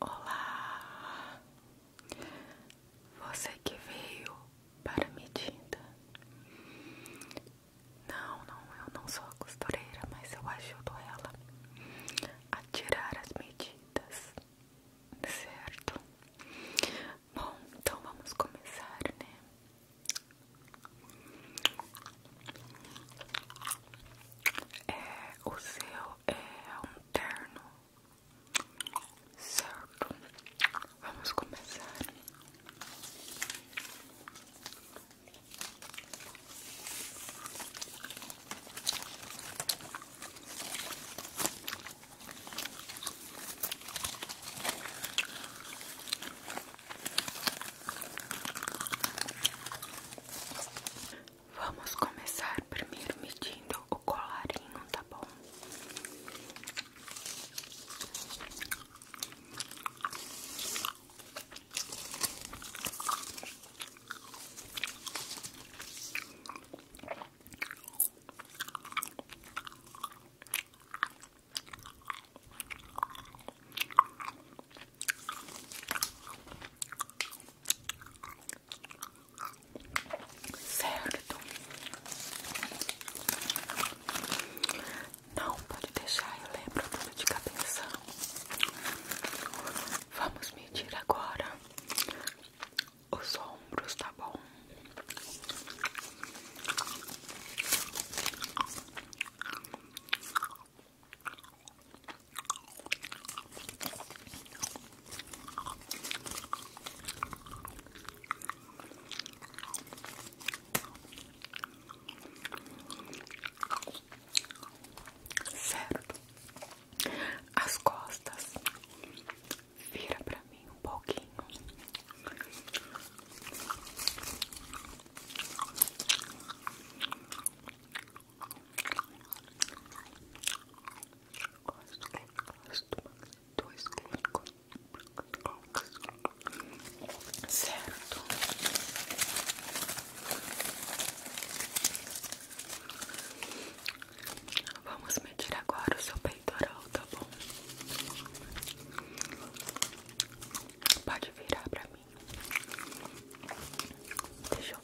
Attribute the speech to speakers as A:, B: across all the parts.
A: Olá, você que veio para me tinta. Não, não, eu não sou a costureira, mas eu ajudo ela a tirar as medidas, certo? Bom, então vamos começar, né? É, o seu é Eterno, certo? Vamos começar. Vamos começar primeiro medindo o colarinho, tá bom? certo? Não pode deixar, eu lembro tudo de cabeça. Vamos medir agora os ombros, tá bom? Certo, as costas vira pra mim um pouquinho. Gosto, gosto, dois clínicos certo vamos medir agora o seu peitoral tá bom pode virar pra mim deixa eu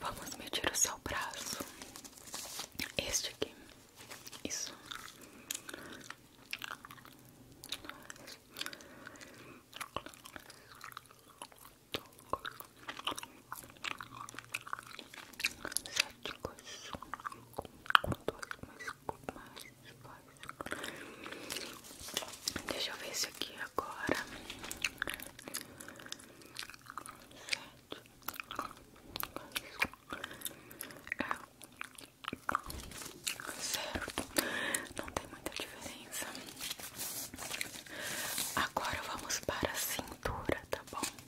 A: Vamos medir o seu braço. Este aqui. Isso. Sete coisas com dois, mas com mais Deixa eu ver isso aqui agora. Sete é zero. Não tem muita diferença. Agora vamos para a cintura, tá bom?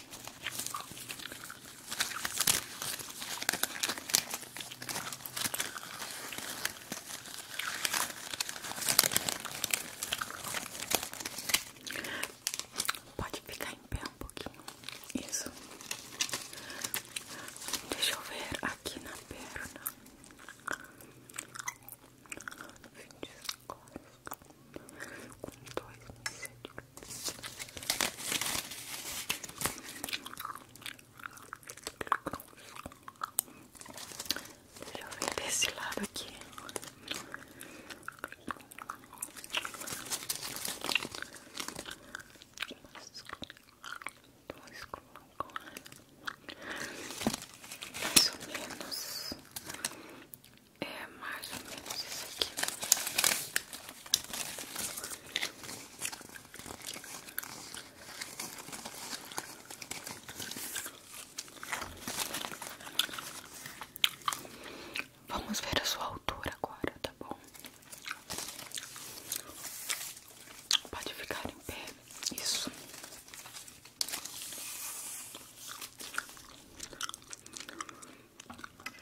A: Pode ficar em pé um pouquinho. Isso. Deixa eu ver aqui na perna. Com dois, Deixa eu ver desse lado aqui. Mais ou menos é mais ou menos esse aqui. Vamos ver a sua altura agora, tá bom? Pode ficar em pé, isso.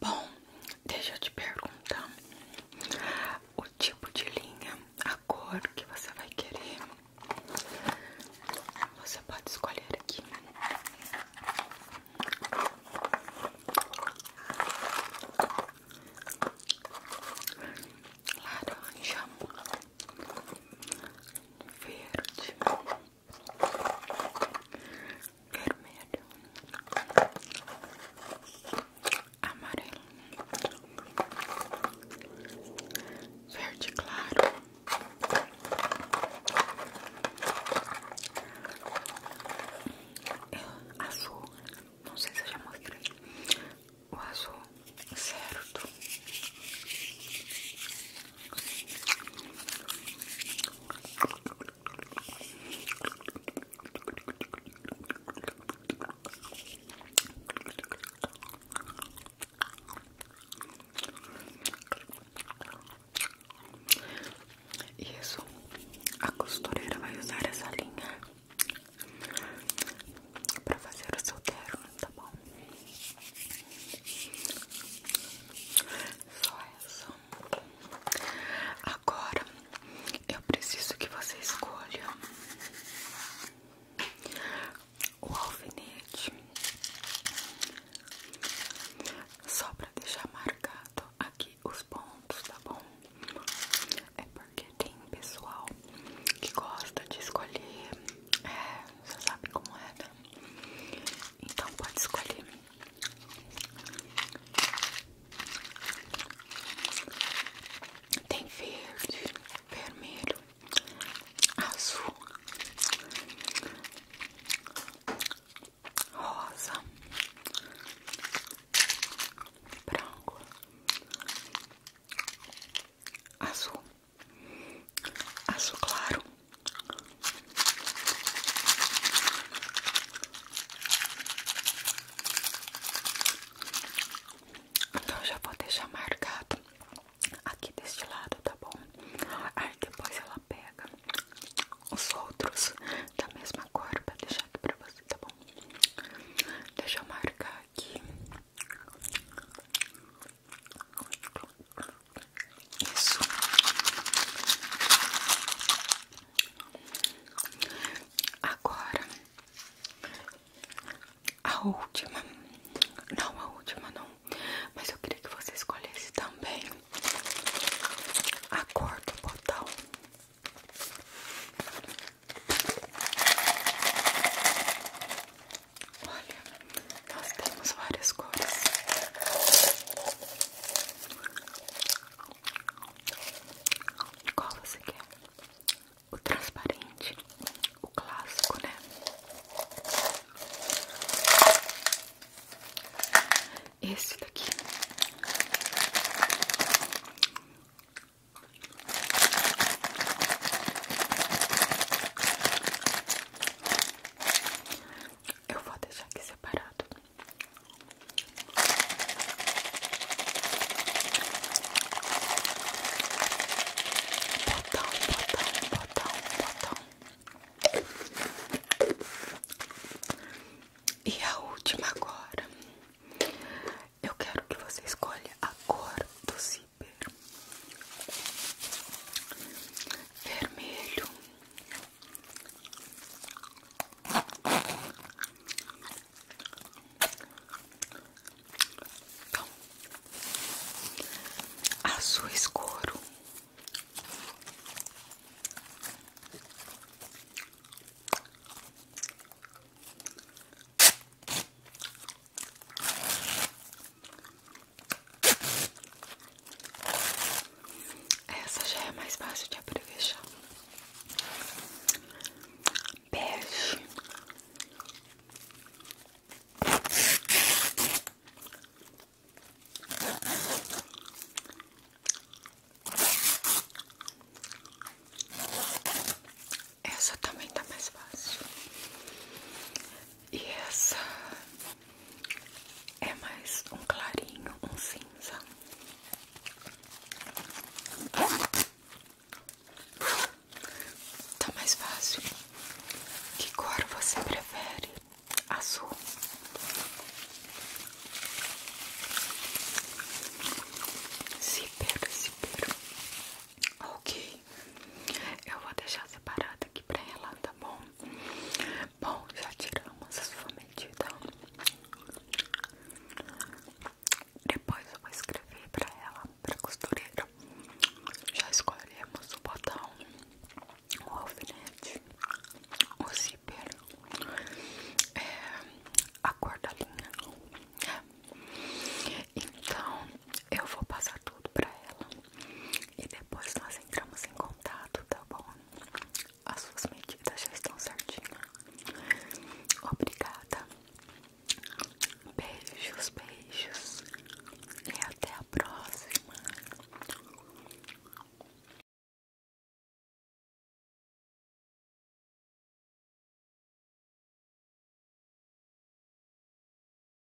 A: Bom, deixa eu te perguntar o tipo de linha, a cor que você vai querer. Você pode escolher aqui. Laranja verde, vermelho, amarelo, verde claro, azul. Não sei se eu já mostrei azul certo? Isso, a costureira vai usar essa linha para fazer o seu terno, tá bom? Só essa. Agora eu preciso que você escolha o alfinete só para deixar marcado aqui os pontos, tá bom? É porque tem pessoal que gosta de escolher, é, você sabe como é, né? Então pode escolher. Tem verde, vermelho, azul, rosa, branco, azul. Aço claro. Então já vou deixar marcado aqui deste lado, tá bom? Aí depois ela pega os outros da mesma cor pra deixar aqui pra você, tá bom? Deixa eu marcar aqui. Isso. Agora a última, não a última não, mas eu queria que você escolhesse também a cor do Olha, nós temos várias cores. Qual você quer? O transparente, o clássico, né? Esse daqui. Eu vou deixar aqui separado. Botão, botão, botão, botão. E a última agora. Eu quero que você escolha a cor do seu vermelho Bom, azul escuro essa já é mais fácil de abreviar. Bege. Essa também tá mais fácil. E essa é mais um clarinho, um cinza. Tá mais fácil. Que cor você prefere? Azul. Zíper, zíper. Ok. Eu vou deixar separado aqui pra ela, tá bom? Bom, já tiramos a sua medida. Depois eu vou escrever pra ela, pra costureira. Já escolhemos o botão, o alfinete, o zíper, é, a cor da linha. Então, eu vou passar tudo pra ela e depois nós entramos em contato, tá bom? As suas medidas já estão certinhas. Obrigada. Beijos, beijos. E até a próxima.